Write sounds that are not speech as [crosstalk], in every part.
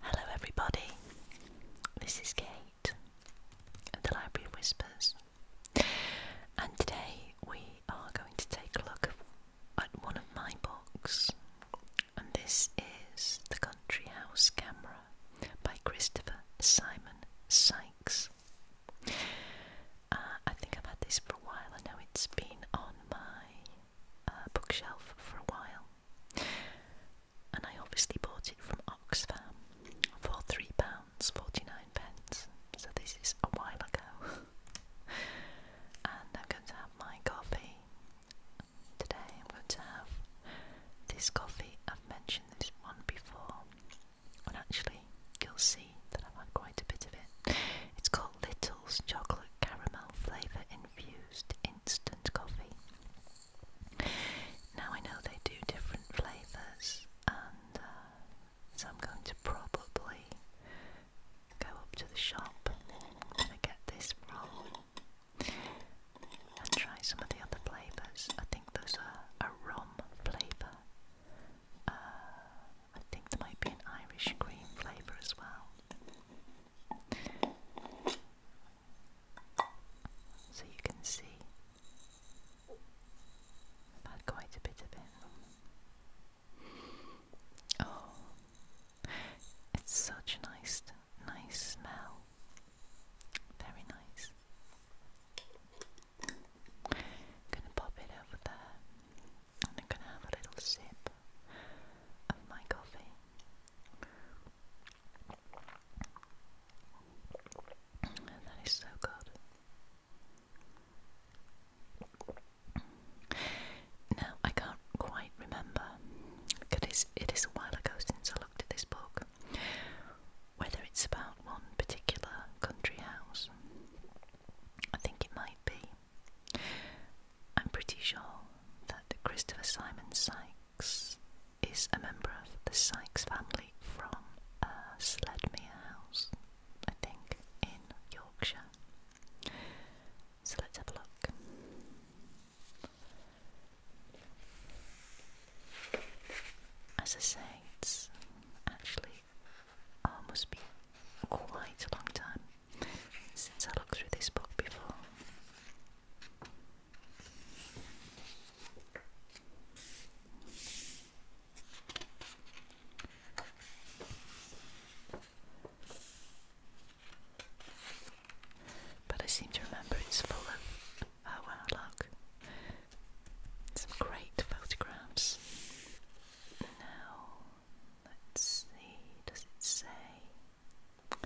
Hello, everybody. This is Kate at the Library Whispers, and today we are going to take a look at one of my books, and this is The Country House Camera by Christopher Simon Sykes. Uh, I think I've had this for a while. I know it's been on my bookshelf for a while, and I obviously bought it from Oxfam for three pounds forty nine pence. So this is a while ago, [laughs] and I'm going to have my coffee today. I'm going to have this coffee. I've mentioned this one before, and actually, you'll see that I've had quite a bit of it. It's called Little's chocolate caramel flavour infused instant coffee. Now I know they do different flavours, and uh, so I'm going to probably go up to the shop get this from and try some of the other flavours. I think there's a, rum flavour. Uh, I think there might be an Irish cream flavour as well. So you can see i quite a bit of it. Oh, it's such a nice, nice smell. Very nice. gonna pop it over there. I'm gonna have a little sip of my coffee. And that is so good. Now I can't quite remember because it is a while ago since I looked at this book. Whether it's about one particular country house, I think it might be. I'm pretty sure that Christopher Simon Sykes is a member of the Sykes family from uh, Sledmere House, I think, in Yorkshire. So let's have a look. As I say, it's actually um, must be quite a long time since I looked through this book before. But I seem to remember it's full of oh wow look. Some great photographs. Now Let's see, does it say?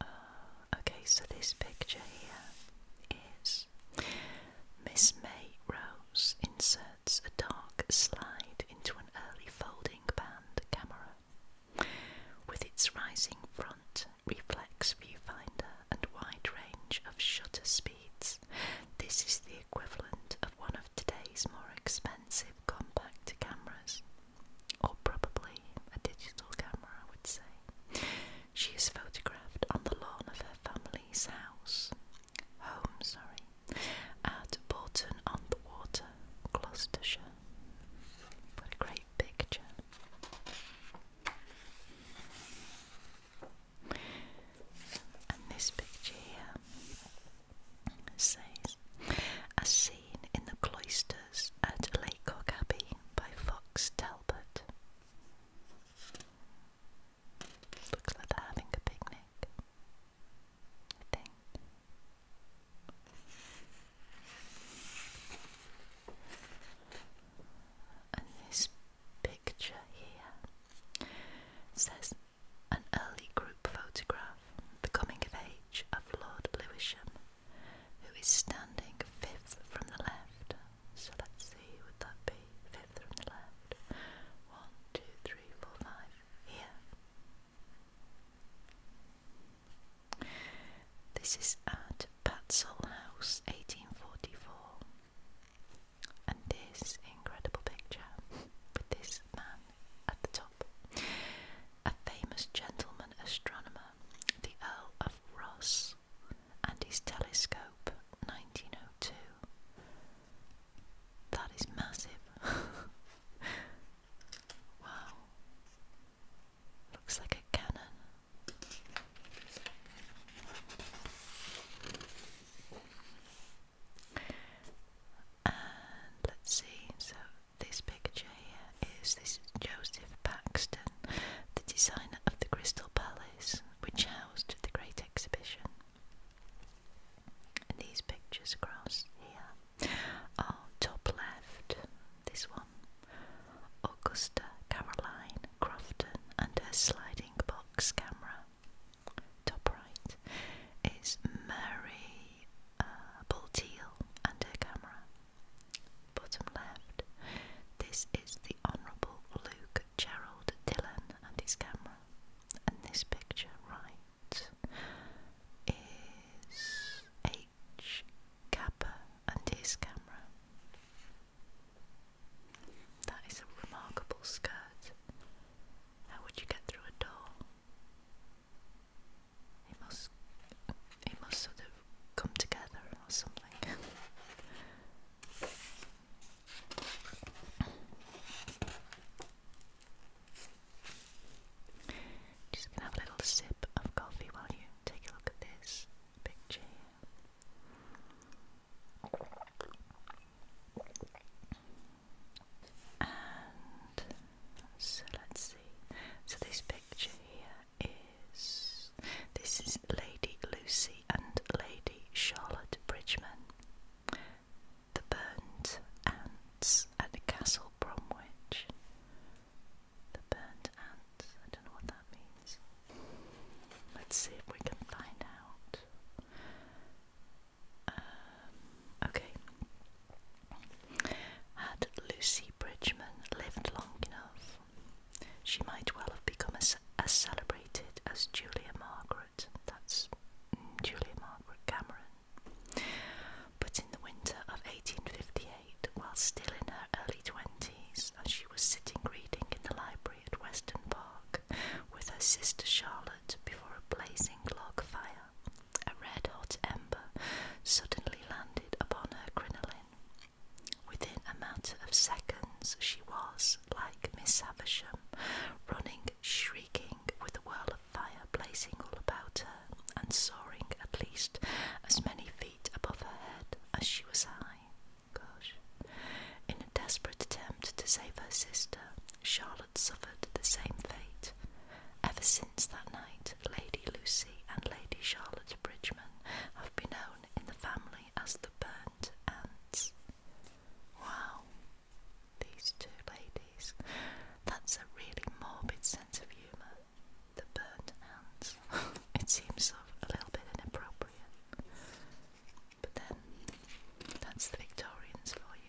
Uh, okay, so this picture here is Miss May Rose inserts a dark slide into an early folding band camera. With its rising front, reflex viewfinder, and wide range of shutter speeds, this is the equivalent of one of today's more expensive compact cameras, or probably a digital camera, I would say. She is photographed on the lawn of her family's house, home, sorry, at Burton on the Water, Gloucestershire. What a great picture! And this picture here says, a scene in the cloisters at Laycock Abbey by Fox Talbot. Looks like having a picnic. I think. And this picture here says an early group photograph, the coming of age of Lord Lewisham, who is standing fifth from the left. So let's see, would that be fifth from the left? One, two, three, four, five. Here. This is at Patsall House, 1844. And this incredible picture with this man at the top. A famous gentleman astronomer, the Earl of Ross, and his telescope, 1902. That is massive. [laughs] wow. Looks like a cannon let's see, so this picture here is this Joseph Paxton, the designer of the Crystal Palace, which housed the Great Exhibition. And these pictures across here are top left, this one, Augusta Caroline Crofton and her sliding box camera top right, is Mary uh, Bulteel and her camera. Bottom left, this is the Honourable Luke Gerald Dillon and his camera. And this picture right is H. Kappa and his camera. That is a remarkable skirt. How would you get through a door? It must, it must sort of come together or something. Just have a little sip of coffee while you take a look at this picture so let's see. So this picture here is this is Lady Lucy and Lady Charlotte Bridgeman, the burnt ants at Castle Bromwich. The burnt ants. I don't know what that means. Let's see if we can find out. Um, okay. Had Lucy Bridgeman lived long enough, she might well have become as, as celebrated as Julia Margaret. That's mm, Julia Margaret Cameron. But in the winter of 1858, while still in her early twenties, and she was sitting reading in the library at Weston Park with her sister Charlotte before a blazing log fire, a red hot ember suddenly landed upon her crinoline. Within a matter of seconds, she was, like Miss Havisham, running, shrieking, with a whirl of fire blazing all about her, and soaring at least as many feet above her head as she was high. Gosh. In a desperate attempt to save her sister, Charlotte had suffered the same fate. Ever since that night, Lady Lucy and Lady Charlotte Bridgeman have been known in the family as the Burnt Ants. Wow, these two ladies. That's a really morbid sense of humour. The burnt ants. [laughs] it seems a little bit inappropriate. But then, that's the Victorians for you.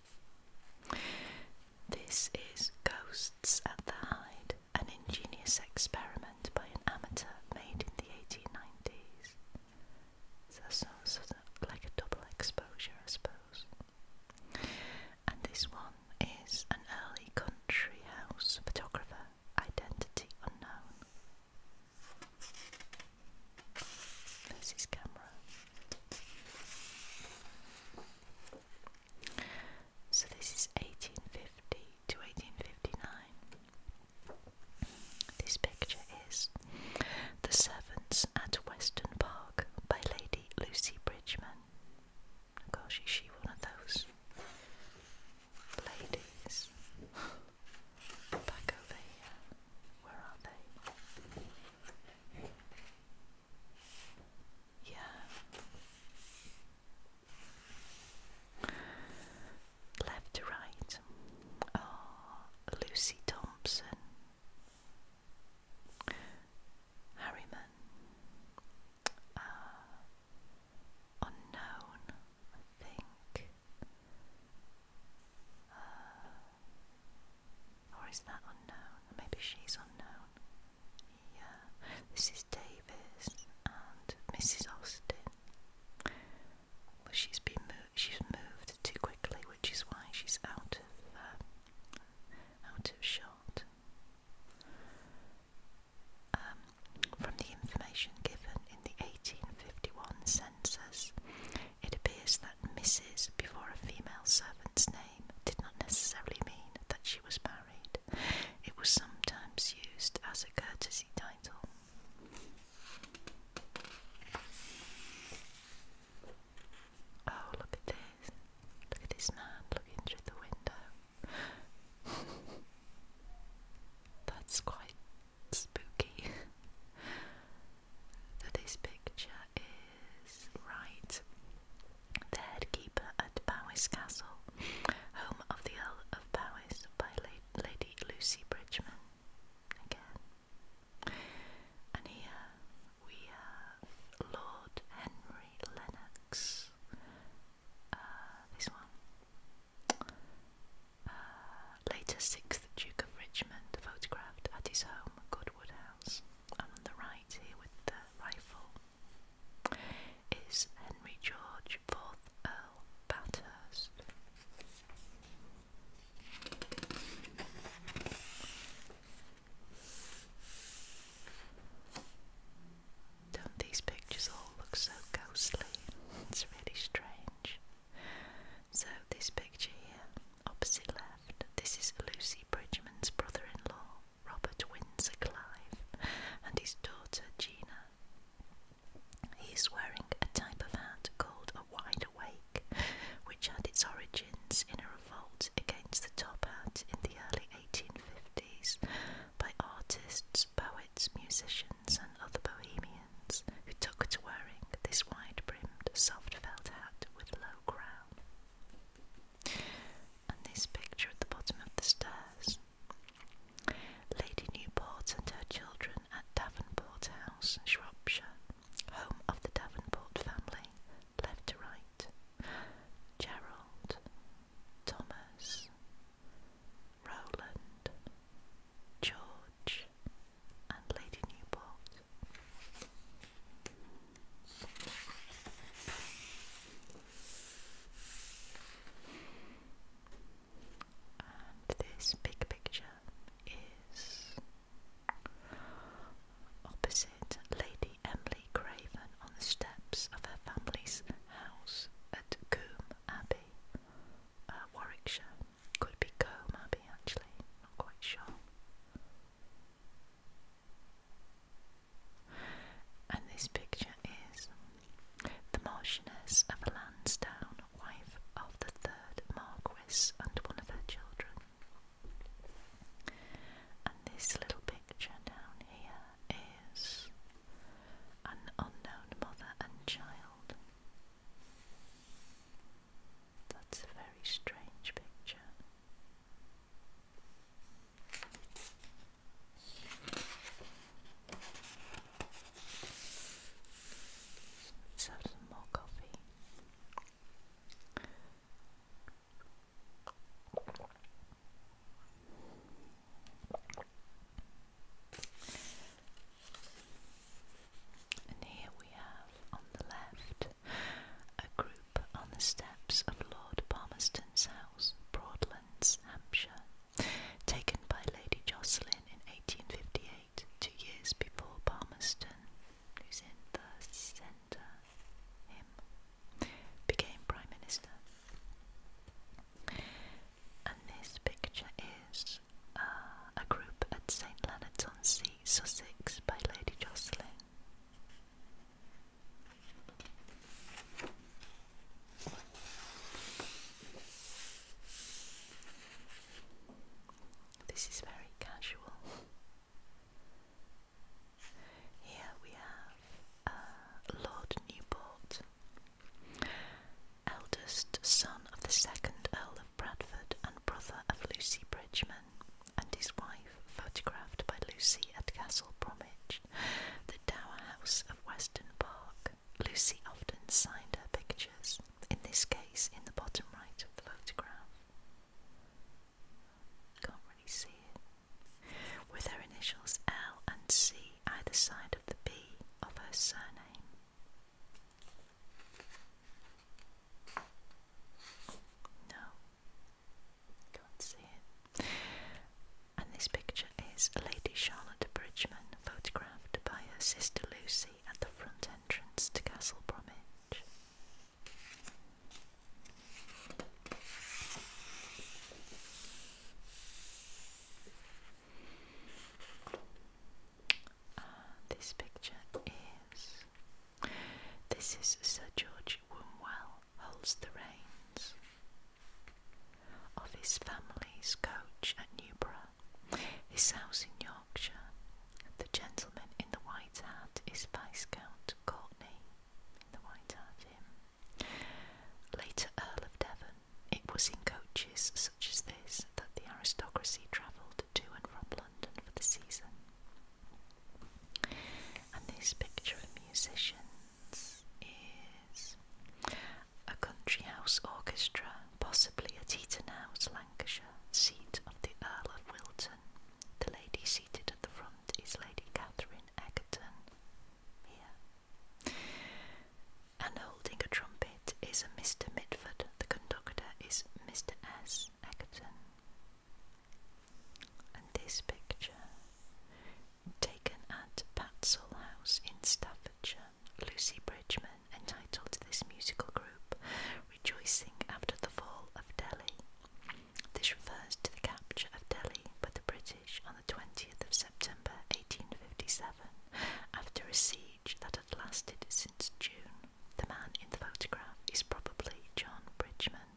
This is Ghosts at the hide, an ingenious experiment by an amateur made in the 1890s. So that's sort of like a double exposure, I suppose. And this one is an early country house photographer, identity unknown. There's his camera. So this is 1850 to 1859. This picture is The Servants at Weston Park by Lady Lucy Bridgeman. Of course, is she one of those ladies? Back over here. Where are they? Yeah. Left to right. Lucy Thompson. Harriman. Uh, unknown, I think. Uh, or is that unknown? Maybe she's unknown. Yeah, this is Davis and Mrs. Austin. But she's been moved. She's moved too quickly, which is why she's out of uh, out of shot. Um, from the information given in the 1851 census, it appears that Mrs. before a female servant's name did not necessarily mean that she was married. It was sometimes used as a courtesy title. Oh, look at this. Look at this man looking through the window. [laughs] That's quite spooky. that [laughs] is picture is right. The head keeper at Powys Castle, home of the Earl of Powys by La Lady Lucy Bridgeman. Again. And here we have Lord Henry Lennox. Uh, this one. Uh, later 6th Duke of Richmond, photographed at his home, Goodwood House. And on the right, here with the rifle, is Henry George, 4th Earl Bathurst. Don't these pictures all look so ghostly? It's really strange. So, this picture here, opposite left, this is Lucy Bridgman's brother in law, Robert Windsor Clive, and his daughter Gina. He is wearing a type of hat called a wide awake, which had its origins in a revolt against the top hat in the early 1850s by artists, poets, musicians, and other bohemians who took to wearing this wide-brimmed, soft felt hat with low crown. And this picture at the bottom of the stairs. Lady Newport and her children at Davenport House, Shropshire, home of the Davenport family, left to right. Gerald, Thomas, Roland, George, and Lady Newport. And this big picture is opposite Lady Emily Craven on the steps of her family's house at Coombe Abbey, uh, Warwickshire. Could be go, maybe, actually. Not quite sure. And this picture is the Marchioness of Lansdowne, wife of the third Marquess and one of her children. And this little picture down here is an unknown mother and child. That's a very strange picture. Let's have some more coffee. And here we have on the left a group on the steps of Lord Palmerston's house, Broadlands, Hampshire, taken by Lady Jocelyn in 1858, two years before Palmerston, who's in the centre, him, became Prime Minister. And this picture is uh, a group at St Leonard's on Sea, Sussex, by Lady Jocelyn. This is very casual. Here we have uh, Lord Newport, eldest son of the second Earl Bradford and brother of Lucy Bridgeman, and his wife, photographed by Lucy at Castle Bromwich, the Dower House of Weston Park. Lucy often signed her pictures, in this case in the bottom right of the photograph. Can't really see it. With her initials L and C either side of the B of her surname. No, can't see it. And this picture is Lady Charlotte Bridgeman, photographed by her sister Lucy at the front entrance to Castle Bromwich. Uh, this picture is this is Sir George Wombwell holds the reins of his family's coach at Newborough, his house in Yorkshire. The gentleman in the white hat is Viscount Courtney in the white hat him. Later Earl of Devon, it was in coaches such as this that the aristocracy travelled to and from London for the season. And this picture of musicians is a country house orchestra, possibly at Eaton House, Lancashire, seat of the Earl of Wilton. The lady seated at the front is Lady Catherine Egerton, here, and holding a trumpet it is a Mr. Mitford, the conductor is Mr. S. Egerton. And this picture, taken at Patsall House in Staffordshire, Lucy Bridgeman, entitled this musical group Rejoicing After the Fall of Delhi. This refers to the capture of Delhi by the British on the 20th of September 1857 after a siege that had lasted since June. The man in the photograph is probably John Bridgman.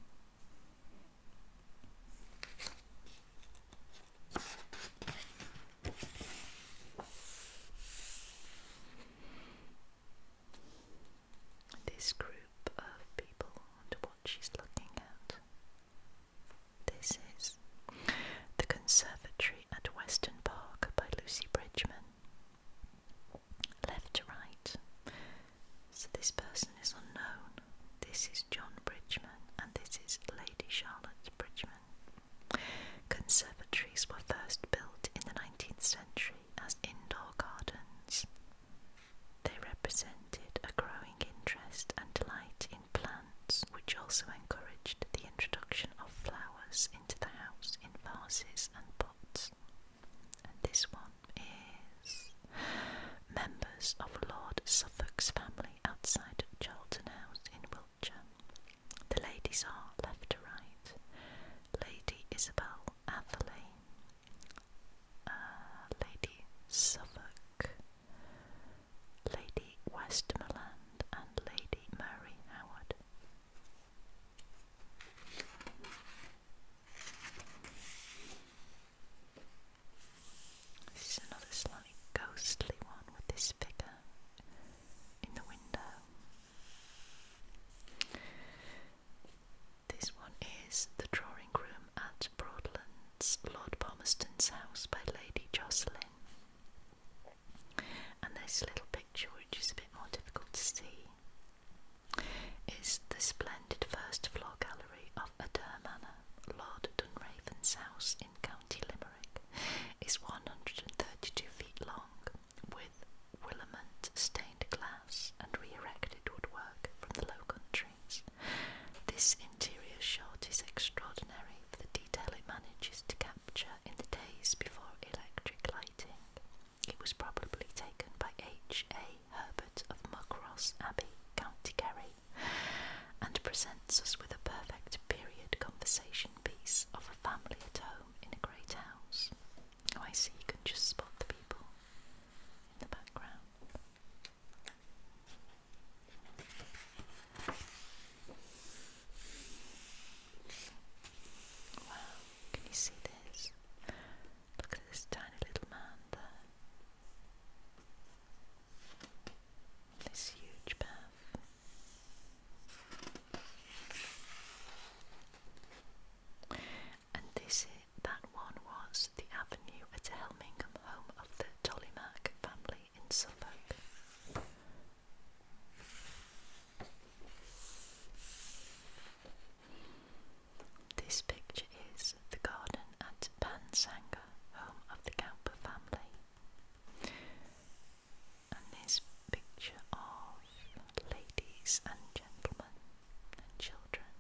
This group of people wonder what she's looking at. This is The Conservatory at Weston Park by Lucy Bridgman. Left to right. So this person is unknown. This is John Bridgman and this is Lady Charlotte Bridgman. Conservatories were first built in the 19th century as indoor gardens. They represented a growing interest and delight in plants, which also encouraged the introduction of flowers into the house in vases and pots. And this one is members of Lord Suffolk's family outside Charlton House in Wiltshire. The ladies are left to right Lady Isabel Atherley, uh, Lady Suffolk, Lady Westmoreland, and Lady Mary Howard. This is another slightly ghostly one with this figure in the window. This one is The Drawing Room at Broadlands, Lord Palmerston's House by Lady Jocelyn. And this little picture, which is a bit more difficult to see, is the splendid first floor gallery of Adair Manor, Lord Dunraven's house in County Limerick, is 132 feet long, with willamette stained glass and re-erected woodwork from the Low Countries. This interior shot is extraordinary for the detail it manages to capture in the days before electric lighting. It was probably taken by H. A. Herbert of Muckross Abbey, County Kerry, and presents us with a perfect period conversation piece of a family at home in a great house. Oh, I see, you can just spot the people in the background. Wow, can you see this? Look at this tiny little man This huge path. And this that one was the avenue at Helmingham, home of the Tolleymack family in Suffolk. This picture is the garden at Pansanga, home of the Gamper family. And this picture of ladies and gentlemen and children,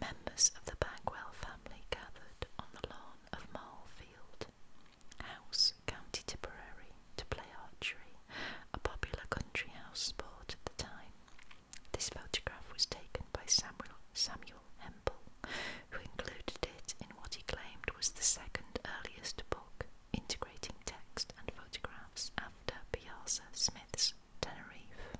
members of the Bagwell family gathered on the lawn of Marlfield House, County Tipperary, to play archery, a popular country house sport at the time. This photograph was taken by Samuel, Samuel Hempel, who included it in what he claimed was the second earliest book integrating text and photographs after Piazza Smith's Tenerife.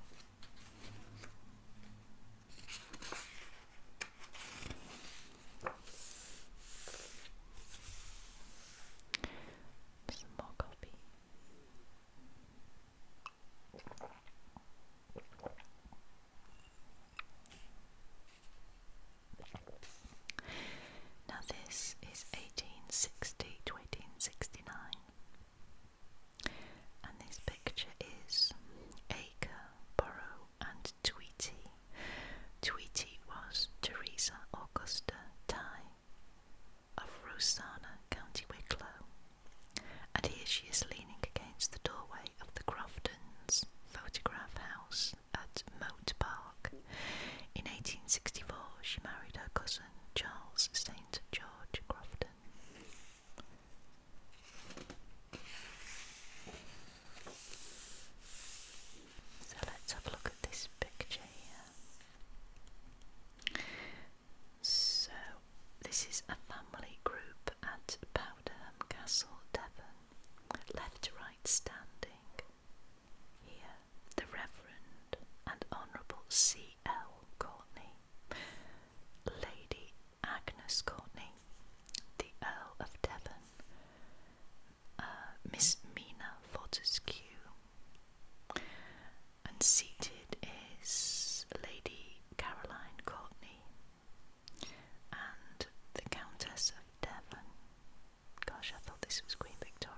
Some more coffee. Now, this is 1860 to 1869, and this picture is Acre, Borough, and Tweety. Tweety was Teresa Augusta Ty of Rosanna, County Wicklow, and here she is leaning against the doorway of the Croftons Photograph House at Moat Park. In 1864, she married her cousin Charles St. George Crofton. So let's have a look at this picture here. So this is a family group at Powderham Castle, Devon. Left to right standing. Here, the Reverend and Honourable C. L. Courtney, Lady Agnes Courtney, the Earl of Devon, uh, Miss Mina Fortescue, and seated is Lady Caroline Courtney and the Countess of Devon. Gosh, I thought this was Queen Victoria.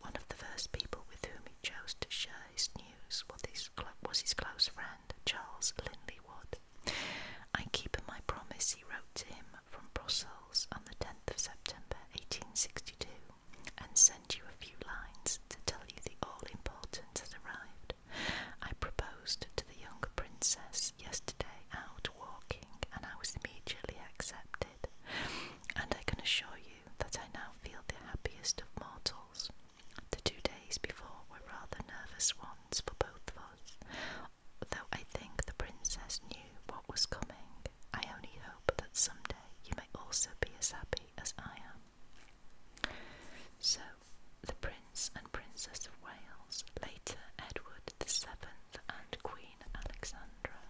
One of the first people with whom he chose to share his news was his close friend, Charles Linley Wood. I keep my promise, he wrote to him from Brussels on the 10th of September 1862, and sent you a few lines to tell you the all-important has arrived. I proposed to the young princess yesterday out walking, and I was immediately accepted, and I can assure you that I now feel the happiest of mortals. The two days before were rather nervous ones for both of us, though I think the princess knew what was coming. I only hope that someday you may also be as happy as I am. So, the Prince and Princess of Wales, later Edward the Seventh and Queen Alexandra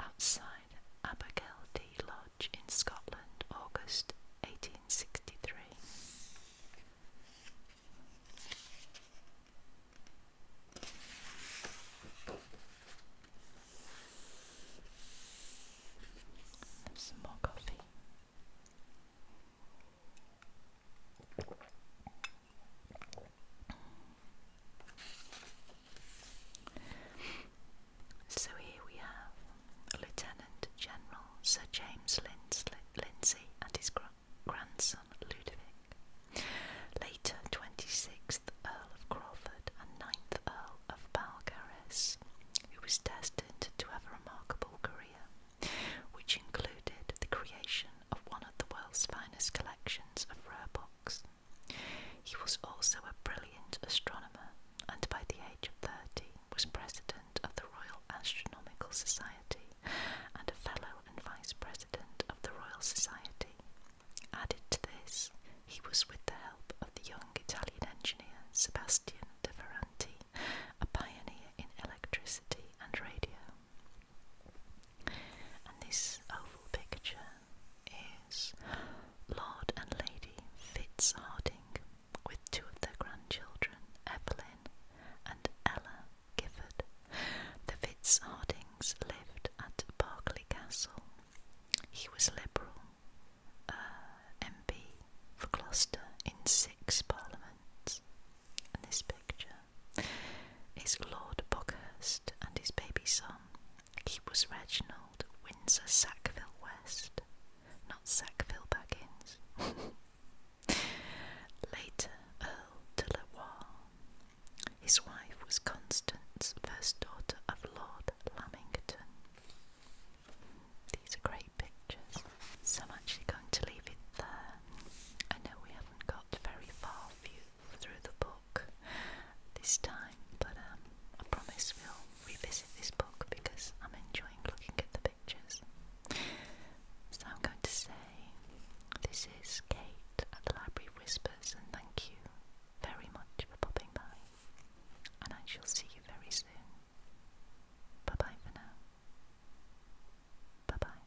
outside Abigail D. Lodge in Scotland, August 1863. some more coffee. So here we have Lieutenant General Sir James Lindsay and his grandson Ludovic, later 26th Earl of Crawford and 9th Earl of Balcarres, who was destined to have a remarkable career, which included the creation of one of the world's finest collections of rare books, he was also a brilliant astronomer and by the age of 30 was president of the Royal Astronomical Society and a fellow and vice president of the Royal Society. Added to this, he was with the help of the young Italian engineer Sebastiano De Ferranti, a pioneer in electricity and radio. And this oval picture is Lord and Lady Fitzharding with two of their grandchildren, Evelyn and Ella Gifford. The Fitzhardings lived at Berkeley Castle. He was Liberal uh, MP for Gloucester in six parliaments. And this picture is Lord Buckhurst and his baby son, he was Reginald Windsor Sackville West, not Sackville Baggins. [laughs] Later Earl de Loire. His wife was Constance, first daughter of Lord Lamington. These are great pictures. So I'm actually going to leave it there. I know we haven't got very far for through the book this time, but um, I promise we'll revisit this book because I'm enjoying looking at the pictures. So I'm going to say this is Kate at the Library Whispers, and thank you very much for popping by, and I shall see you very soon. Bye bye for now. Bye bye.